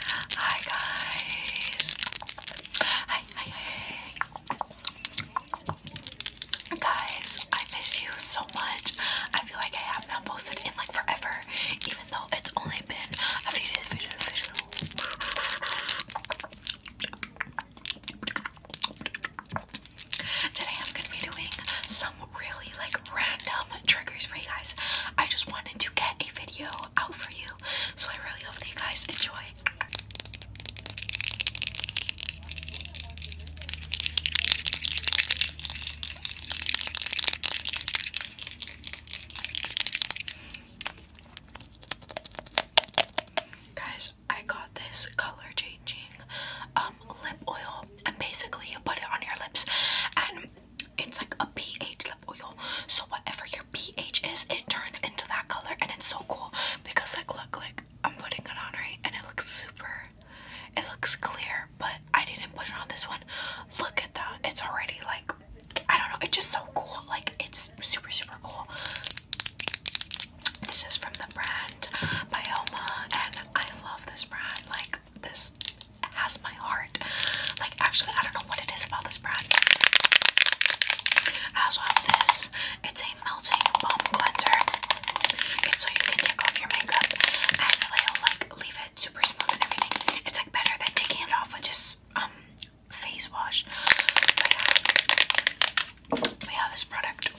Hi guys. Hi, hi, Guys, I miss you so much. I feel like I have not posted in like forever, even though it's only been a few days. A few a few days. Today I'm gonna be doing some really like random triggers for you guys. I just wanted to get a video out for you, so I really hope that you guys enjoy. Guys, I got this color changing um, lip oil and basically you put it on your lips and it's like a pH lip oil. So whatever your pH is, it turns into that color, and it's so cool because like look, like I'm putting it on right, and it looks super. It looks clear, but I didn't put it on this one. Look at that; it's already like I don't know. It's just so cool. Like it's super super cool. This is from the brand Bioma, and I love this brand. Like this has my heart. Like, actually, I don't know what it is about this brand. I also have this. It's a melting balm cleanser. It's so you can take off your makeup and it like leave it super smooth and everything. It's like better than taking it off with just um face wash. we have this product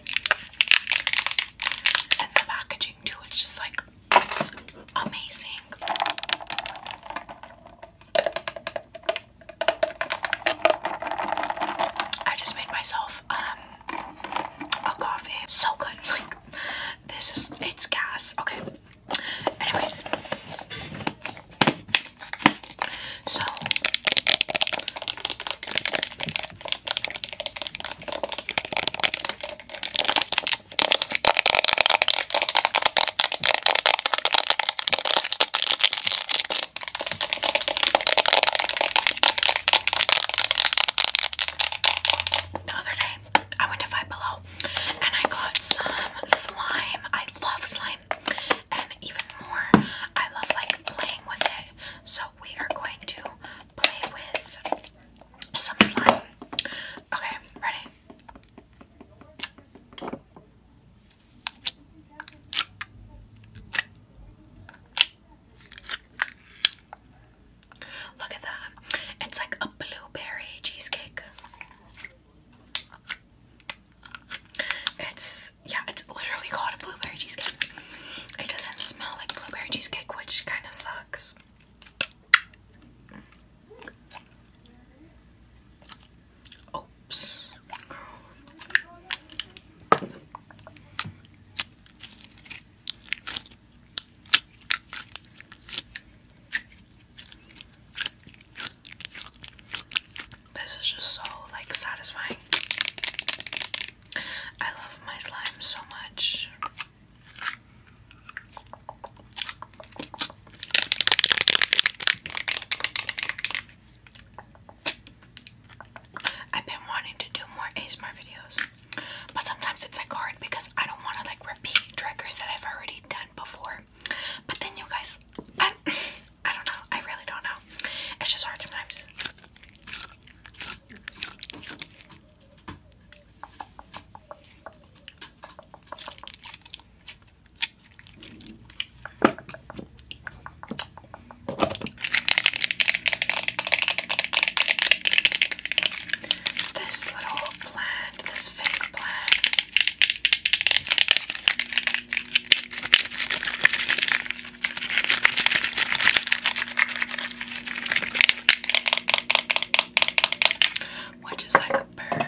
and the packaging too. It's just like it's amazing. I just made myself um a coffee. So good. Like this is it's gas. Okay. Anyways. So the other I went to Five Below and I got some slime. I love slime, and even more, I love like playing with it so we are going to play with some slime. Okay, ready? Look at that. It's like a blueberry cheesecake. It's yeah, it's literally called a blueberry cheesecake. It doesn't smell like blueberry cheesecake, which kind of sucks. Oops. This is just so like satisfying. I love my slime so much. I've been wanting to do more ASMR videos, but sometimes it's like hard because I don't want to like repeat triggers that I've already done before. But then you guys, I, I don't know. I really don't know. It's just hard sometimes. This little plant this fake blend, which is like a bird.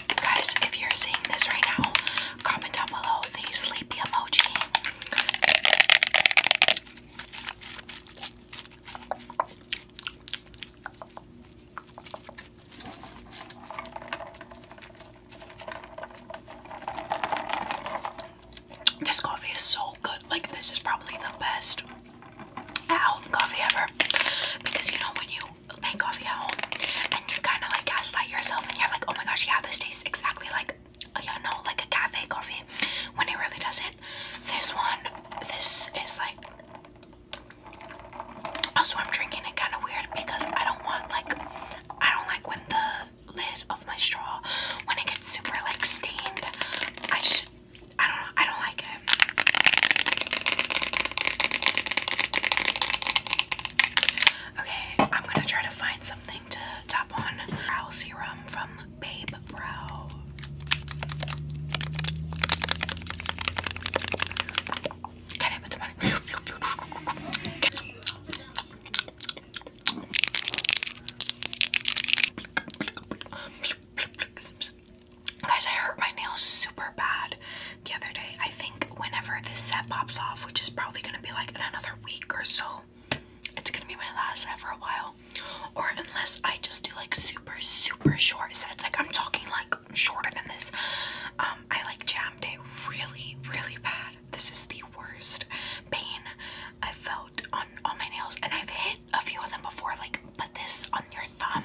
Guys, if you're seeing this right now, comment down below the sleepy emoji. This coffee is so good. Like, this is probably the best uh, out home coffee ever. Because you know, when you make coffee at home and you are kind of like gaslight yourself and you're like, oh my gosh, yeah, this tastes exactly like, oh you know, like a cafe coffee when it really doesn't. This one, this is like, also I'm drinking it kind of weird because I don't want like, I don't like when the lid of my straw, when it gets super like stained, I just, I don't I don't like it. Okay, I'm gonna try to find something to top on. Brow serum from Babe Brow. Guys, I hurt my nails super bad the other day. I think whenever this set pops off, which is probably going to be like another week or so, it's going to be my last set for a while. Or unless I just do like super, super short sets. Like I'm talking like shorter than this. Um, I like jammed it really, really bad. This is the worst pain I felt on, all my nails. And I've hit a few of them before, like put this on your thumb.